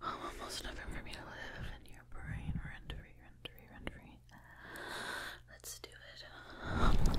Home almost never for me to live in your brain. Rent free, rent free, Let's do it.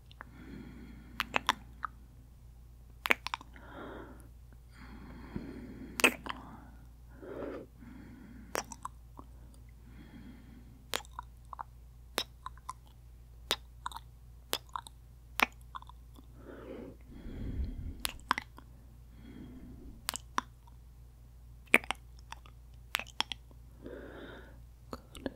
Go to to sleep.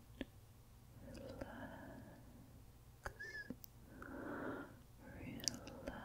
relax. Oh, it's time for bed. Time for bed.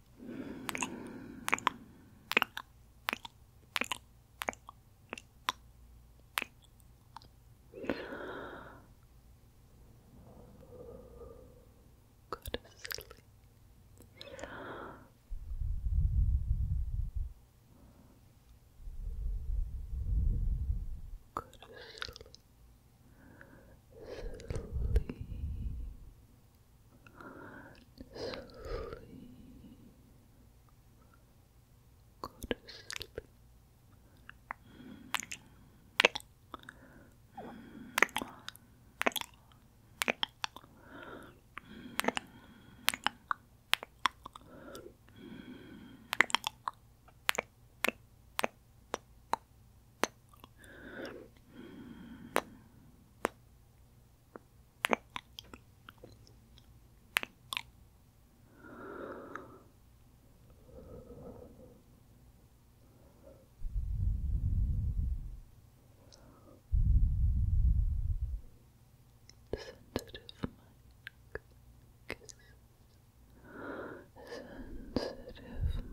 Good sleep. Good sleep. Sleep. Sleep. Sleep. Go to sleep. Sensitive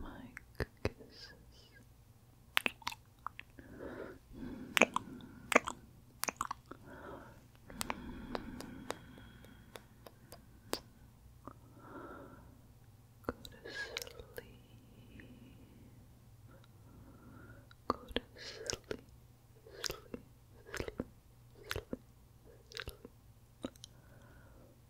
mic kisses. Sensitive mic kisses. Go to sleep. Sleep, sleep, sleep, sleep.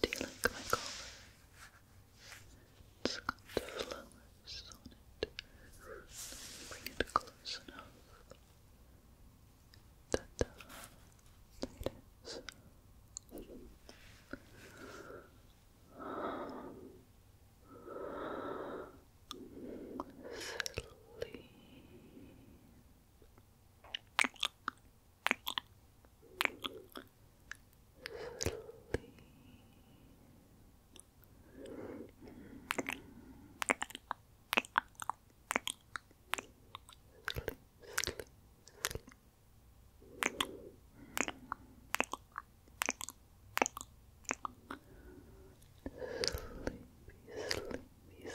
Do you like my collar? It's got the flowers on it. Bring it close enough. Ta It is. Sleep sleep. Sleep, sleep, sleep. Sleepy, sleepy, sleep.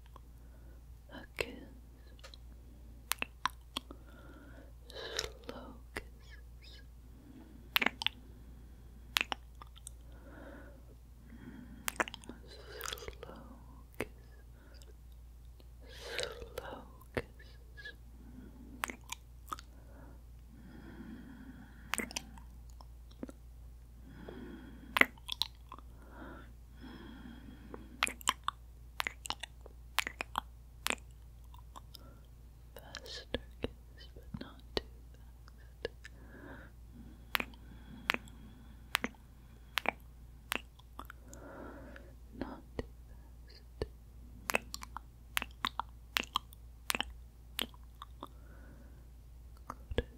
a kiss, slow kisses. Slow kiss, slow kisses. Faster kiss, but not too fast. Not too fast. Go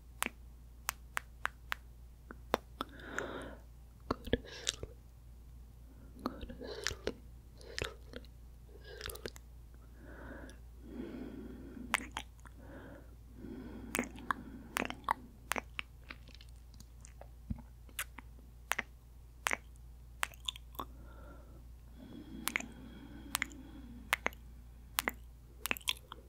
Go to sleep. Go to sleep. Sleep. Sleep. Good. Go to sleep, sleep, sleep.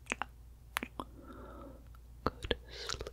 Good sleep. Good sleep. sleep, sleep.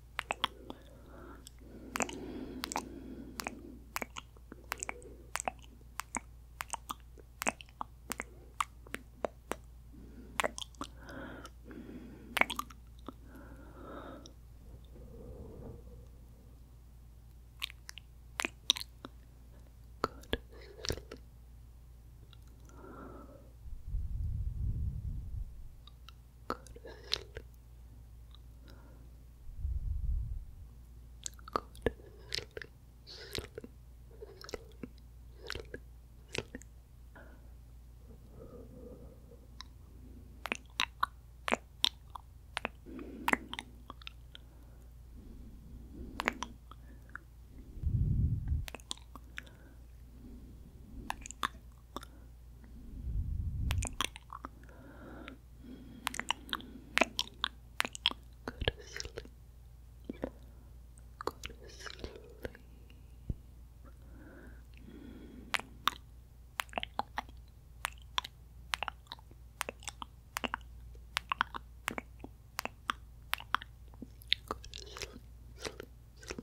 Good sleep. Go to sleep. Go to sleep. Sleep. Sleep. Sleep. Sleep. Good. Go to sleep. Go to sleep. Go to sleep, sleep, sleep,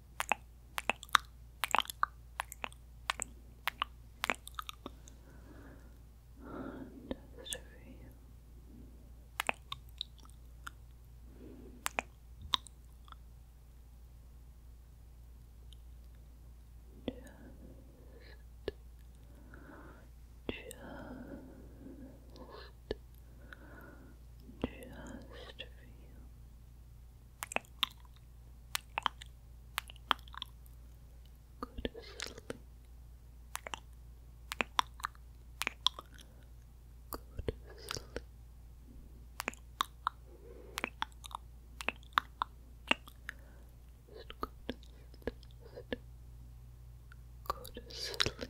And just feel just, just, just feel Go to sleep. Go sleep. Just sleep. Go sleep. Go sleep.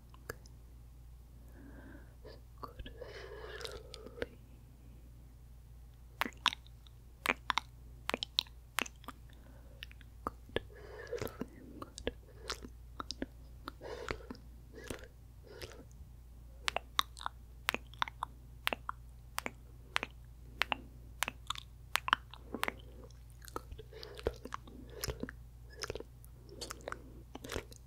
So go sleep. Go sleep. Go sleep. Sleep, sleep, sleep, sleep, sleep, sleep, sleep, sleep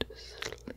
Good sleep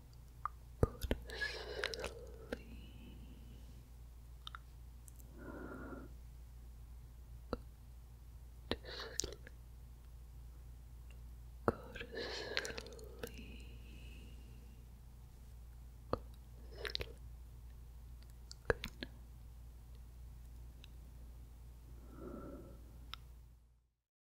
Go to sleep. Go to sleep. Go to sleep. Go to sleep. Good